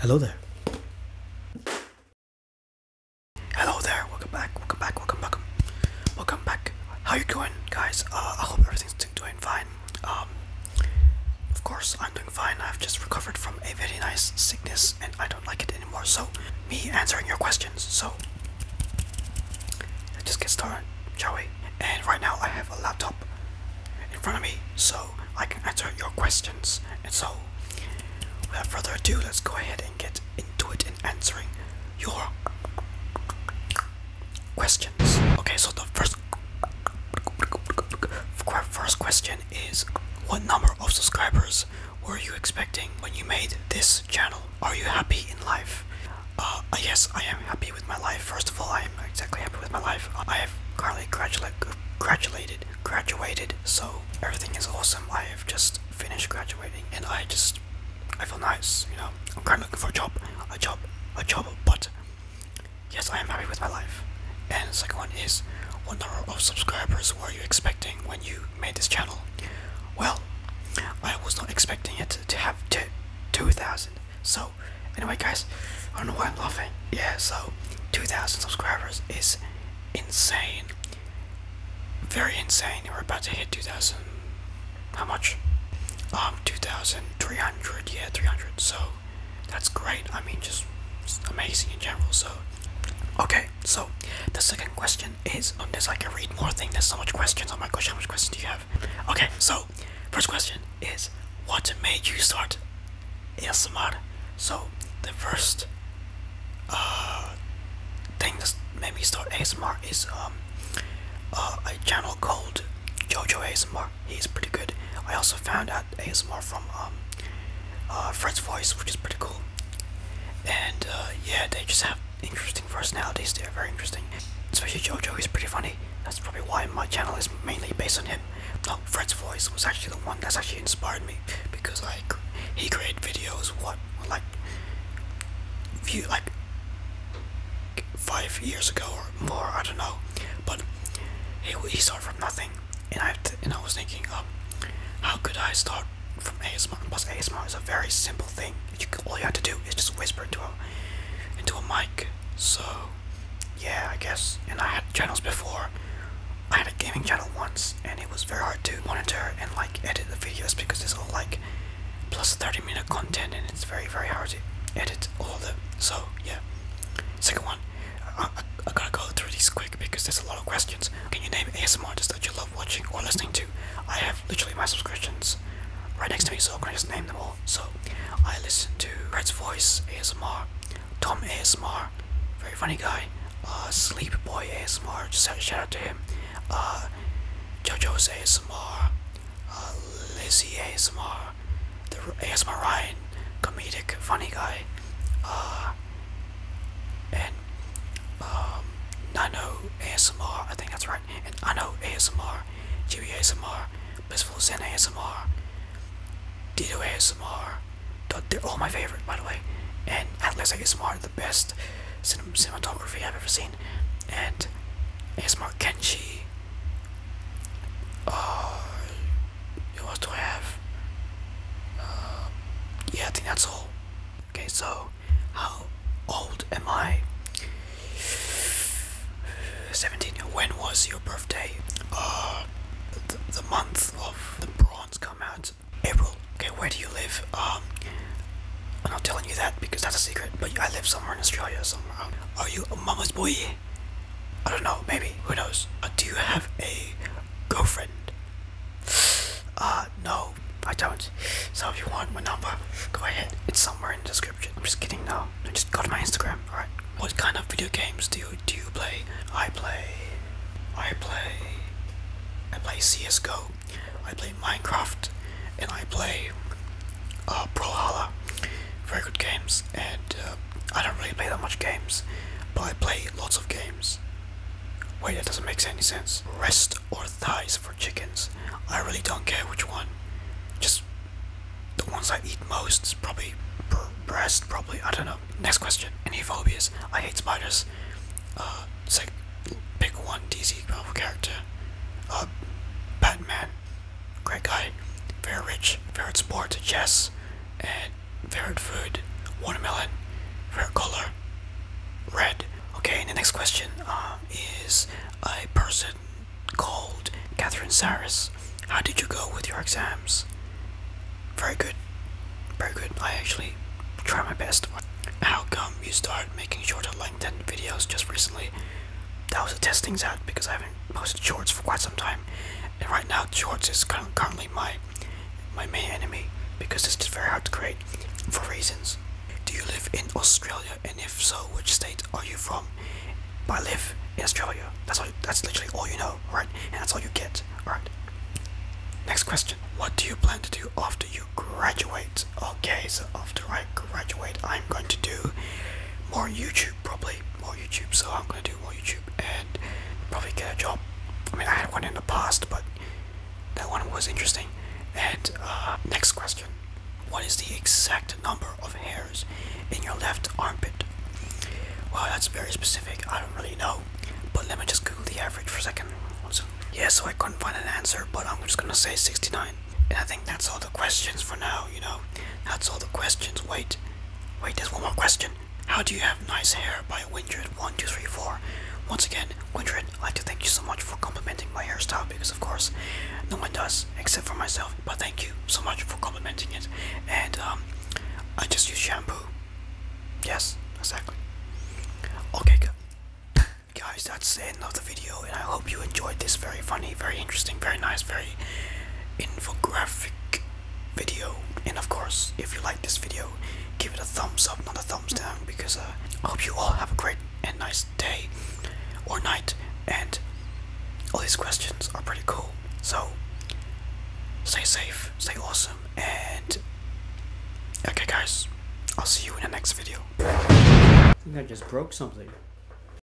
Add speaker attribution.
Speaker 1: Hello there. Hello there. Welcome back. Welcome back. Welcome back. Welcome back. How you doing, guys? Uh, I hope everything's doing fine. Um, of course, I'm doing fine. I've just recovered from a very nice sickness, and I don't like it anymore. So, me answering your questions. So, let's just get started, shall and right now I have a laptop in front of me so I can answer your questions. And so, without further ado, let's go ahead and get into it in answering your questions. Okay, so the first first question is what number of subscribers were you expecting when you made this channel? Are you happy in life? Uh, uh, yes, I am happy with my life. First of all, I am exactly happy with my life. I have currently graduate, graduated, graduated, so everything is awesome. I have just finished graduating, and I just, I feel nice, you know. I'm currently looking for a job, a job, a job, but yes, I am happy with my life. And the second one is, what number of subscribers were you expecting when you made this channel? Well, I was not expecting it to have 2,000, so anyway, guys, I don't know why I'm laughing. Yeah, so 2,000 subscribers is insane. Very insane. We're about to hit 2,000. How much? Um, 2,300. Yeah, 300. So, that's great. I mean, just amazing in general. So, okay. So, the second question is. Um, there's like a read more thing. There's so much questions. Oh my gosh, how much questions do you have? Okay, so first question is what made you start ASMR? So the first uh, thing that made me start ASMR is um, uh, a channel called Jojo ASMR. He's pretty good. I also found out ASMR from um, uh, Fred's Voice, which is pretty cool. And yeah, they just have interesting personalities they're very interesting. Especially Jojo, is pretty funny. That's probably why my channel is mainly based on him. No, Fred's voice was actually the one that actually inspired me because like he created videos what like few like five years ago or more, I don't know. But he, he started from nothing, and I and I was thinking, um, how could I start from ASMR? Plus, ASMR is a very simple thing all you have to do is just whisper into a into a mic. So yeah, I guess. And I had channels before. I had a gaming channel once, and it was very hard to monitor and like edit the videos because it's all like plus 30 minute content, and it's very very hard to edit all of them. So yeah. Second one, I, I, gotta go through these quick because there's a lot of questions. Can you name ASMR that you love watching or listening to? I have literally my subscriptions right next to me, so I can just name them all. So I listen to Red's Voice ASMR, Tom ASMR, very funny guy, uh, Sleep Boy ASMR, just shout out to him, uh, JoJo's ASMR, uh, Lizzie ASMR, the ASMR Ryan, comedic funny guy, uh, and um, Nano ASMR, I think that's right, and I know ASMR, Jimmy ASMR, Blissful Zen ASMR, Dito ASMR, they're all my favorite by the way, and Atlas ASMR, the best cinematography I've ever seen, and ASMR Kenshi, Oh, uh, what else do I have? Uh, yeah, I think that's all. Okay, so how old am I? 17. When was your birthday? Uh, the, month of the bronze come out. April. Okay, where do you live? Um, I'm not telling you that because that's a secret, but I live somewhere in Australia, somewhere Are you a mama's boy? I don't know, maybe. Who knows? Uh, do you have a girlfriend? Uh, no, I don't. So if you want my number, go ahead. It's somewhere in the description. I'm just kidding now. I just go to my Instagram. All right. What kind of video games do you do you play? I play, I play, I play CS:GO. I play Minecraft, and I play uh, Brawlhalla. Very good games, and uh, I don't really play that much games, but I play lots of games. Wait, that doesn't make any sense. Breast or thighs for chickens? I really don't care which one. Just the ones I eat most probably breast, probably. I don't know. Next question. Any phobias? I hate spiders. Uh, it's pick one DC Marvel character. Uh, Batman. Great guy. Very rich. Very Favorite sport? Chess. And favorite food, watermelon, favorite color, red. Okay, and the next question uh, is a person called Catherine Saris. How did you go with your exams? Very good, very good. I actually try my best. How come you started making shorter LinkedIn videos just recently? That was a testing out because I haven't posted shorts for quite some time. And right now, shorts is currently my my main enemy because this is very hard to create for reasons. Do you live in Australia and if so which state are you from? I live in Australia. That's all that's literally all you know, right? And that's all you get. Alright. Next question. What do you plan to do after you graduate? Okay, so after I graduate I'm going to do more YouTube probably, more YouTube, so I'm gonna do more YouTube and probably get a job. I mean, I had one in the past, but that one was interesting. And uh, next question What is the exact number of hairs in your left armpit? Well, that's very specific, I don't really know, but let me just Google the average for a second. Yeah, so I couldn't find an answer, but I'm just gonna say 69. And I think that's all the questions for now, you know. That's all the questions. Wait, Wait, there's one more question. How do you have nice hair by Windred1234? Once again, Windred, I'd like to thank you so much for complimenting my hairstyle because of course no one does except for myself. But thank you so much for complimenting it. And um, I just use shampoo. Yes, exactly. Okay good. guys that's the end of the video and I hope you enjoyed this very funny, very interesting, very nice, very infographic video. And of course, if you like this video, give it a thumbs up, not a thumbs down, because uh, I hope you all have a great and nice day or night. And all these questions are pretty cool. So, stay safe, stay awesome, and okay, guys, I'll see you in the next video. I think I just broke something.